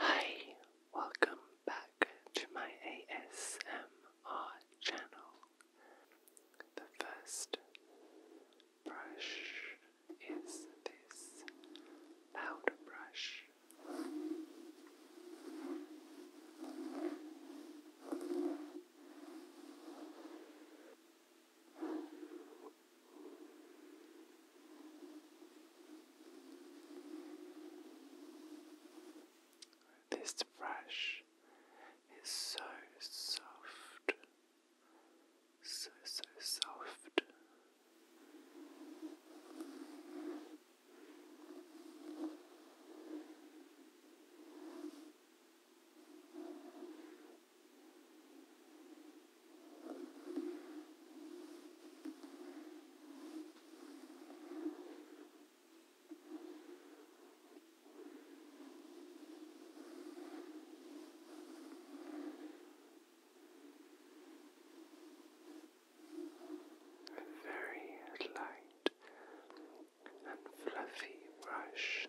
Hi, welcome back to my ASMR channel. The first brush is this powder brush. This brush is so soft, so, so soft very light and fluffy brush.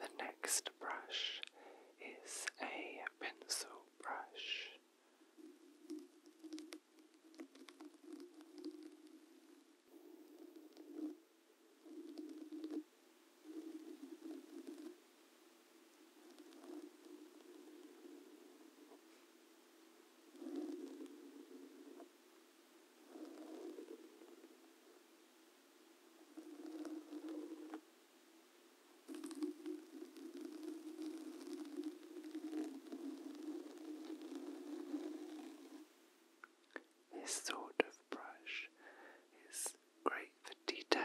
The next brush is a pencil brush. This sort of brush is great for detail.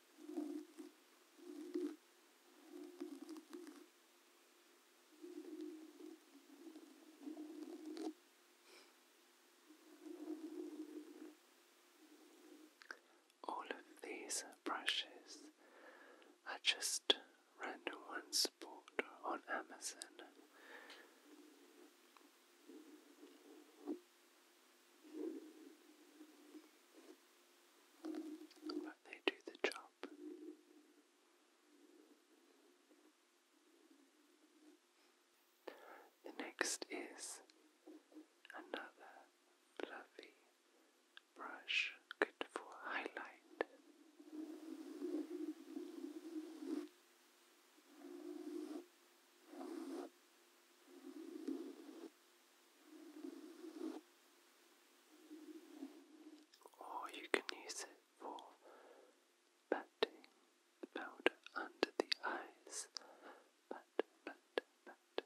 All of these brushes are just random ones bought on Amazon. But they do the job. The next is another fluffy brush, good for highlight. Oh, you can use it for patting powder under the eyes. Pat, pat, pat, pat.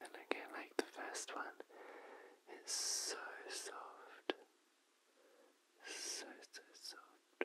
And again, like the first one, it's so soft. So, so soft.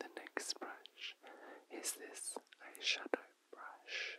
The next brush is this eyeshadow brush.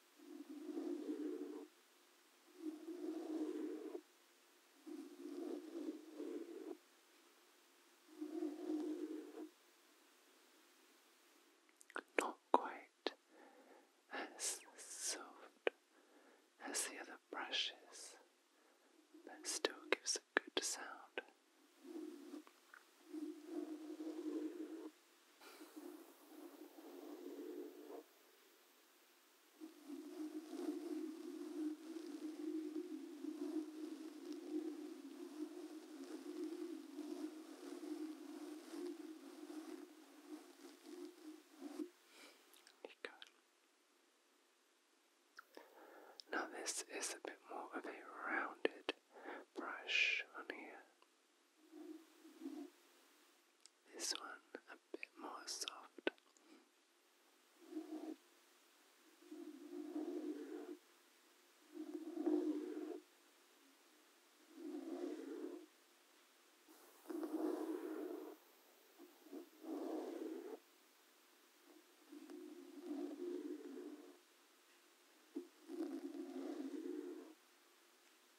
Not quite as soft as the other brushes, but still gives a good sound. Now, this is a bit more of a rounded brush on here. This one a bit more soft.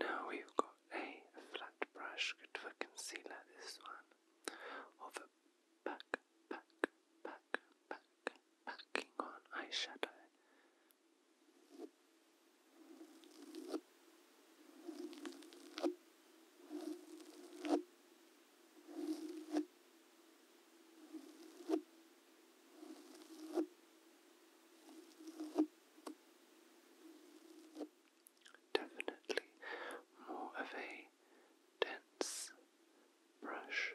Now we've got a flat brush, good for concealer, this one, of a back, back, back, back, backing on eyeshadow. Definitely more of a dense brush.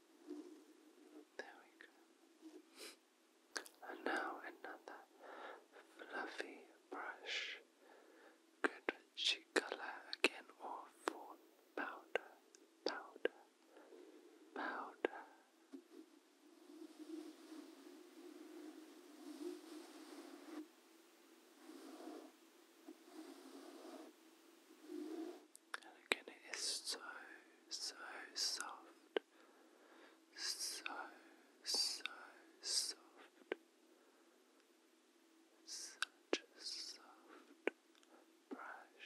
There we go. And now another fluffy brush. Good cheek color again or for powder, powder, powder. And again, it is so, so soft. So, so soft. Such a soft brush.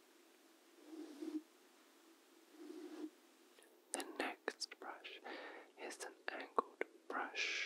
The next brush is an angled brush.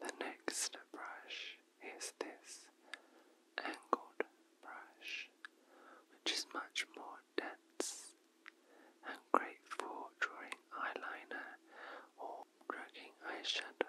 The next brush is this angled brush, which is much more dense and great for drawing eyeliner or dragging eyeshadow.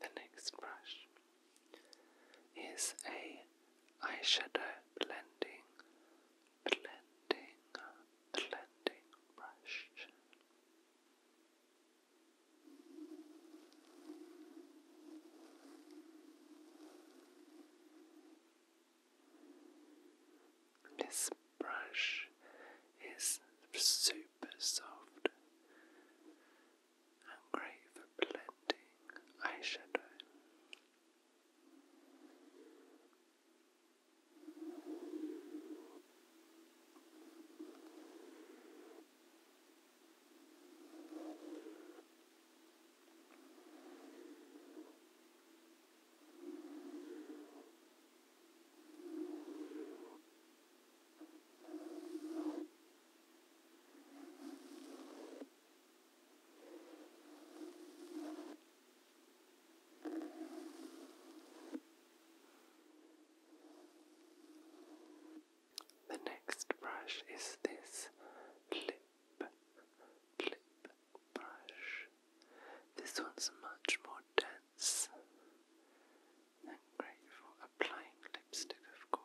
The next brush is a eyeshadow blending, blending, blending brush. This brush is super soft. And great for blending eyeshadow. The next brush is this lip lip brush. This one's much more dense yes. i Applying lipstick, of course.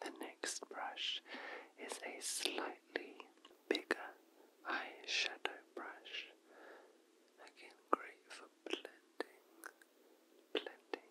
The next brush is a slightly bigger eyeshadow brush. Again, great for for blending, blending.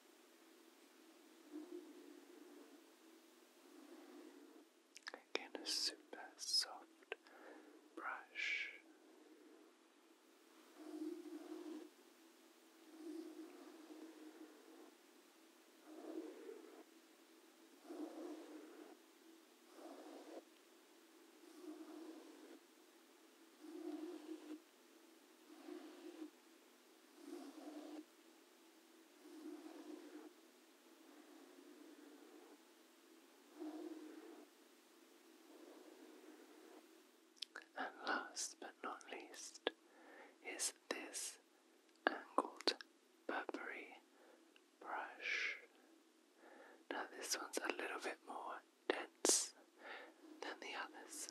Again, a super soft brush. And last but not least is this angled Burberry brush. Now, this one's a little bit more dense than the others.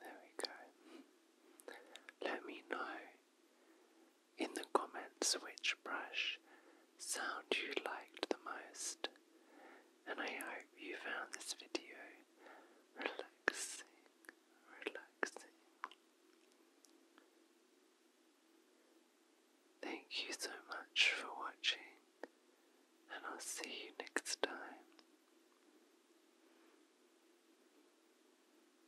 There we go. Let me know in the comments which brush sound you liked the most, and I hope you found this video relaxing, relaxing. Thank you so much for watching, and I'll see you next time.